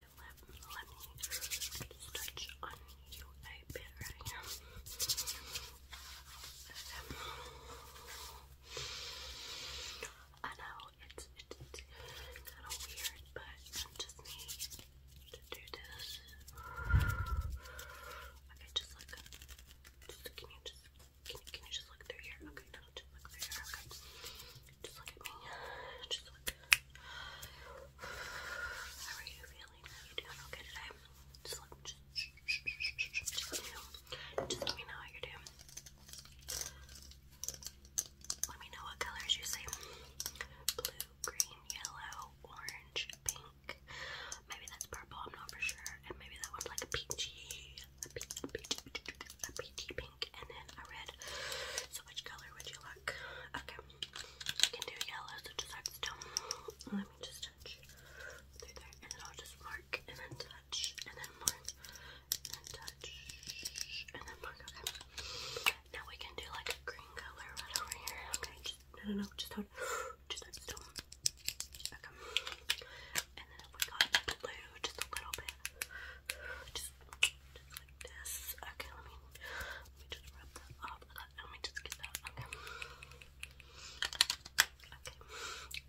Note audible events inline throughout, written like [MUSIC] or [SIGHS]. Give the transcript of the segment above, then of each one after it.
Let, me stretch on you a bit right now. I know it's, it's, kind of weird, but I just need to do this. Okay, just look. can you just, can, you just look through here? Okay, just look through here. Just look at me. How are you feeling? Are you doing okay today? Just let me know. Just let me know how you're doing. Let me know what colors you see. Blue, green, yellow, orange, pink. Maybe that's purple, I'm not for sure. And maybe that one's like peachy, a peachy, peachy, peachy, peachy pink and then a red. So which color would you like? Okay. I can do yellow, so just like still. Let me just touch there and then I'll just mark and then touch and then mark and then touch and then mark. Okay. Now we can do like a green color right over here. Okay, no no no, just hold just like still. Okay. And then we got blue just a little bit. Just just like this. Okay, let me let me just wrap that up. Let me just get that. Okay.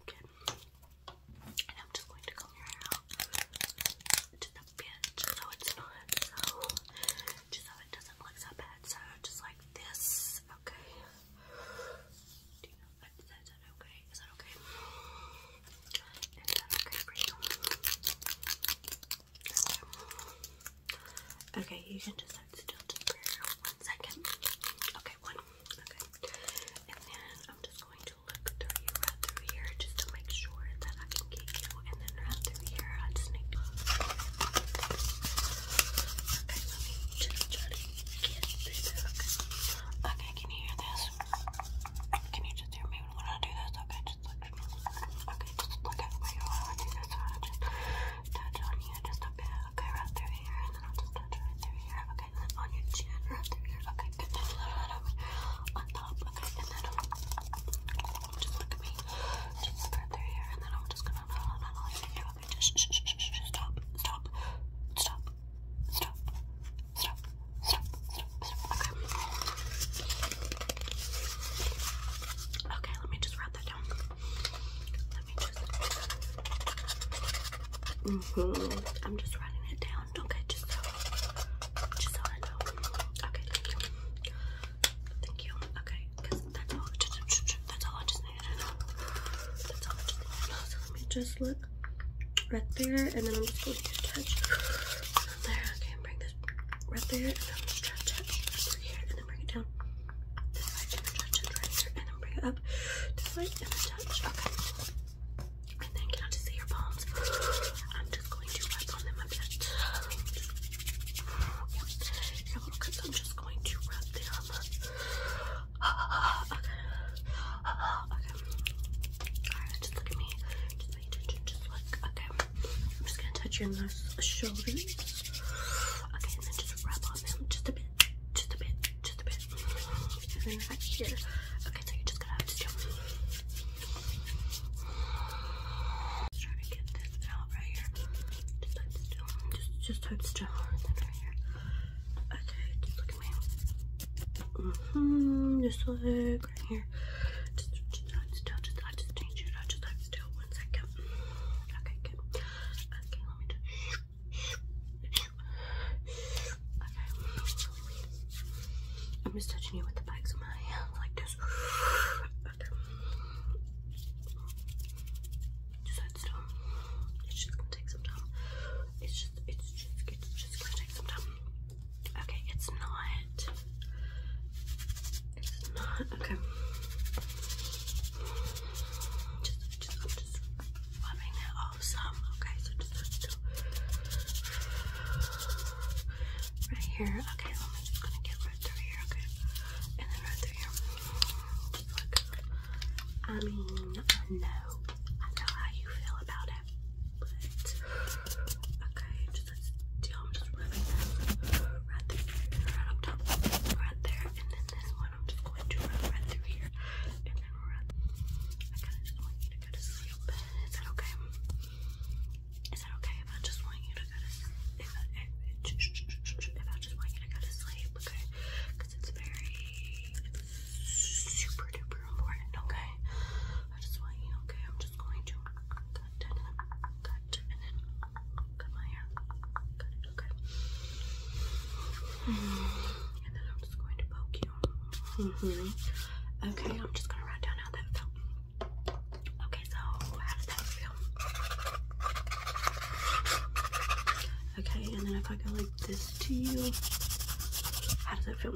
Okay. Good. I'm just going to comb your hair out just a bit, just it's not just so it doesn't look so bad. So just like this. Okay. Do you know that? Is that okay? Is that Okay okay you? can just hold still just for one second. Okay, one. Okay. And then I'm just going to look through here just to make sure that I can get you. And then right through here, I just need Okay, can you hear this? Can you just hear me when I do this? Okay, just look. Okay, just look at me when just touch on you just a bit. Okay, right through here, and then I'll just touch right through here. Okay, then on your chin, right through here. Okay, good. Then right over on top. Okay, and then just look at me. Just right through here, and then I'm just gonna not not like you. Okay, just shh, shh, shh, shh, stop, stop, stop, stop, stop, stop, stop, stop. Okay. Okay, let me just write that down. Let me just. Mm hmm I'm just writing it down. Okay, just so, just so I know. Okay, thank you. Thank you. Okay, because that's all. That's all I just needed to know. That's all I just needed to know. So let me just look right there, and then I'm just going to touch from there. Okay, and bring this right through and then stretch it through here, and then bring it down right here, and then bring it up this way, and then touch. Okay. And see your palms? I'm just going to rub on them a bit. your little cuts, I'm just going to rub them. [SIGHS] Okay. [SIGHS] Okay. Alright, just look at me just like, okay, I'm just gonna touch your nose, shoulders, okay, and then just rub on them just a bit, just a bit, just a bit, and then right here, okay, now you're just gonna have to jump. Just to get this out right here, just just, just hold still, right here, okay, just look at me, mm-hmm, just like, here. Just, just, still, I just changed it. I just, I'm still one second. Okay, good. Okay, let me do. Okay. I'm just touching you with the backs on my hands like this. Okay. Just hold still. It's just gonna take some time. It's just, it's just, it's just gonna take some time. Okay, it's not. It's not. Okay. Just, just, i just rubbing it off Okay, so just, just right here. Okay, I'm just gonna get right through here. Okay, and then right through here. I mean, I know, I know how you feel about whatever. But okay, just let's do. I'm just rubbing that right there, right up top, right there, and then this one. I'm just going to rub right through here, and then right. I kind of just want you to go to sleep. Is that okay? Is that okay if I just want you to go to sleep? If I, if, if I just want you to go to sleep, okay? Because it's very it's super duper important, okay? I just want you, okay? I'm just going to cut cut and then cut my hair. okay? Mm-hmm. And then I'm just going to poke you. -hmm. Okay, I'm just gonna write down how that felt. Okay, so how did that feel? Okay, and then if I go like this to you, how does that feel?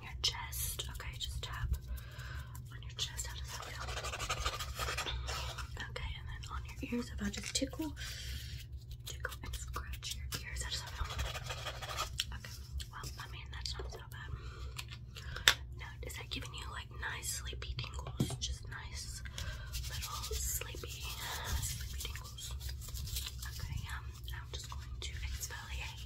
on your chest. Okay, just tap on your chest. How does that feel? Okay, and then on your ears. If I just tickle, tickle and scratch your ears. How does feel? Okay. Well, I mean that's not so bad. No, is that giving you like nice sleepy tingles? Just nice little sleepy, sleepy tingles. Okay, um, I'm just going to exfoliate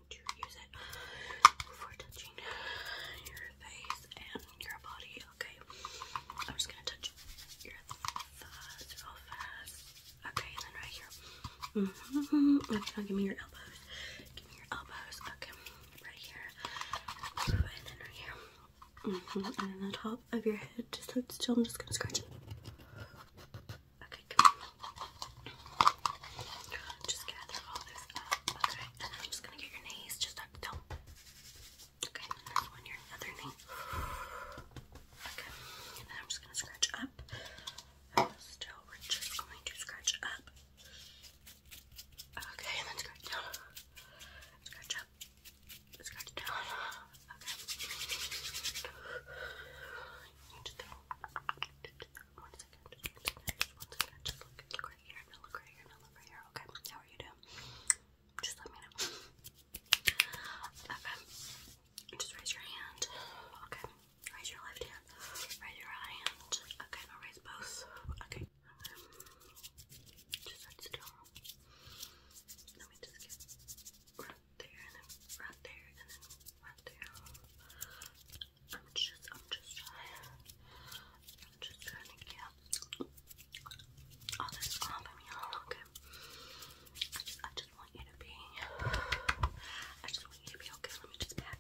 going to use it before touching your face and your body. Okay, I'm just gonna touch your thighs real fast. Okay, and then right here. Mm -hmm. Okay, now give me your elbows. Give me your elbows. Okay, right here. And then right here. Mm -hmm. And then the top of your head. Just hold still. I'm just gonna scratch it. Okay, come on. Just gather all this up, And then I'm just gonna get your knees just up, Okay, and then on your Okay, and then I'm just gonna scratch up. Still, we're just going to scratch up. Okay, and then scratch down. Scratch up. Scratch down. Okay. One second, just look, right here, now look right here, now look right here. Okay, how are you doing? Just let me know. Okay, just raise your hand. Okay, raise your left hand, raise your right hand. Okay, raise both. Okay, um, just sit still. Let me just get right there and then right there and then right there. I'm just, I'm just trying. I'm just trying to get all this off of me. Okay. I just, I just want you to be. I just want you to be okay. Let me just pat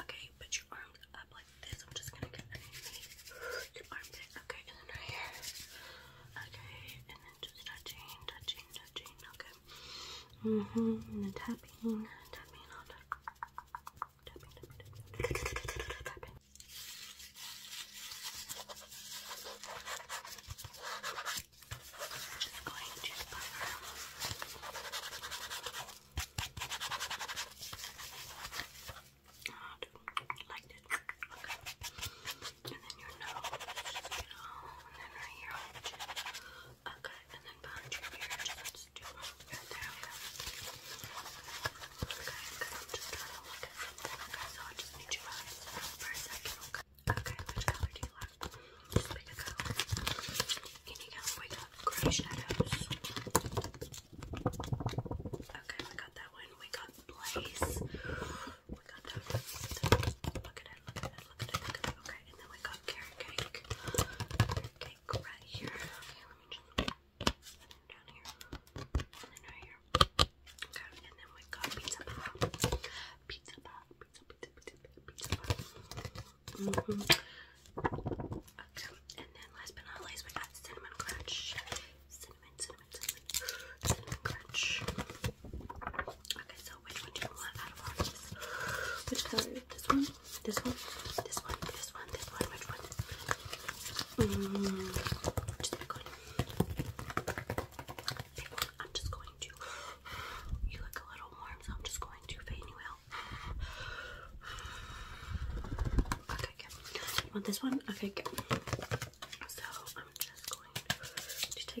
Okay, put your arms up like this. I'm just gonna get underneath your armpit. Okay, and then here. Okay, and then just touching, touching, touching. Okay. Mm -hmm. And the tapping, tapping on tapping, tapping, tapping, tapping. i going to cover like this. And then your nose, and then right here Okay, and then behind your ear, let do okay? So I just need your eyes for a second, okay? which color do you like? Can you guys wake up? Gray shadows. Okay, we got that one. We got Blaze. We got that look at it, look at it, look at it. Okay, and then we got carrot cake. cake right here. Okay, let me just and then down here. And then right here. Okay, and then we got pizza pie. Pizza pie. Pizza pizza pizza pizza pie. -hmm. Okay, and then last but not least we got cinnamon crunch. Cinnamon, cinnamon, cinnamon. Cinnamon crunch. Okay, so so which one do you want out of all these? Which color? This one? This one? This one? This one? This one? Which one? Mm, just pick one. Pick one. I'm just going to. You look a little warm, so I'm just going to fade you out. Okay, good. You want this one? Okay, good. So I'm just going to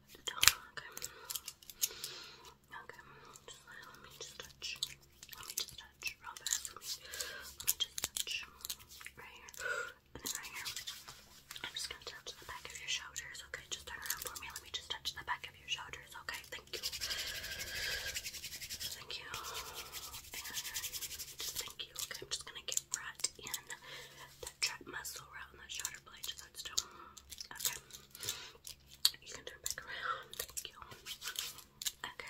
Okay. Okay. let me just touch. Let me just touch. Right here. And then right here. I'm just gonna touch the back of your shoulders. Okay, just turn around for me. Let me just touch the back of your shoulders. Okay, thank you. Thank you. And thank you. Okay, I'm just gonna get right in that trap muscle right that shoulder blade. Okay. You can turn back around. Okay, okay. Okay,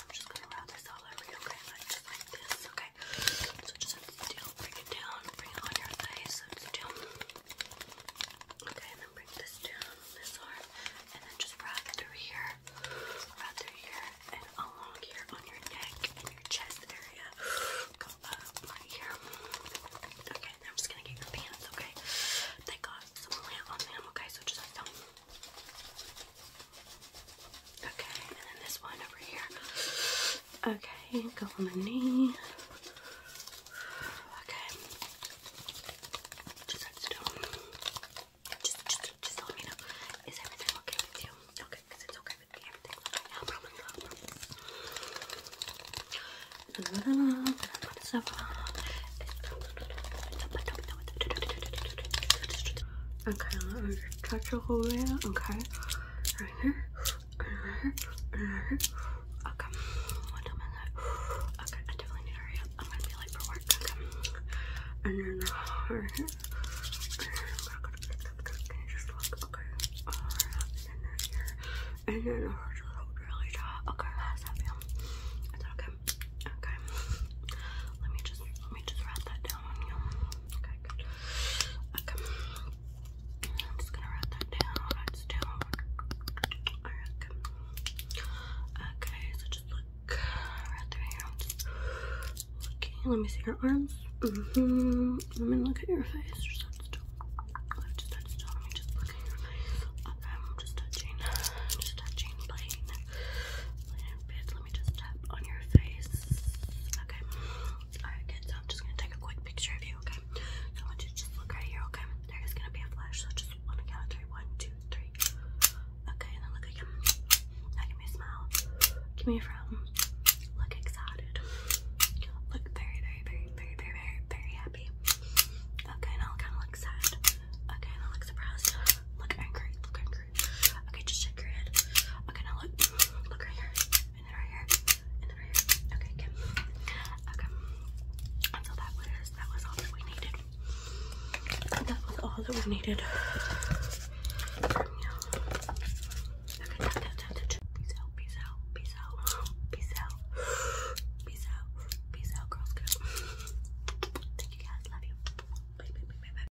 I'm just gonna round this all over you, okay? So just bring it down, bring it on your face, so just do. Okay, and then bring this down, this arm, and then just wrap through here, wrap through here, and along here on your neck and your chest area. Go up right here. Okay, then I'm just gonna get your pants, okay? They got some lint on them, okay? So just like Okay, and then this one over here. Okay, go on my knee. Okay. Just let me know. Is everything okay with you? Okay, because it's okay with me. Everything's okay. No problem, Okay, let me just touch your whole area. Okay. Right here. Right here. Right here. Okay. What time is it? Okay, I definitely need to hurry up. I'm gonna be late for work. Okay. And then uh, right here. Can you just look? Okay. Alright. And then here. And then uh, really dry. Okay, how's that feel? Is that okay? Okay. Let me just let me just wrap that down on you. Okay, good. Okay. I'm just gonna write that down. It's down. Okay. okay, so just look right Let me see your arms. Mm hmm Let me look at your face. I'm just touching. Just touching. Playing. Playing a let me just tap on your face. Okay. Alright, So I'm just gonna take a quick picture of you, okay? So I want you to just look right here, okay? There is gonna be a flash, so just two, three. Okay, and then look again. give me a smile. Give me a frown. Look excited. Look very, very, very, very, very, very, happy. Okay, now look kinda look sad. Okay, now look surprised. Look angry. Look angry. Okay, just shake your head. Okay, now look. Look right here. And then right here. And then right here. Okay, good. Okay. And so that was that was all that we needed. That was all that we needed from you. Okay, tap, tap, tap, tap. Peace out, peace out, peace out, peace out, peace out, peace out, girls. Go. Thank you guys. Love you. Bye, bye, bye, bye, bye.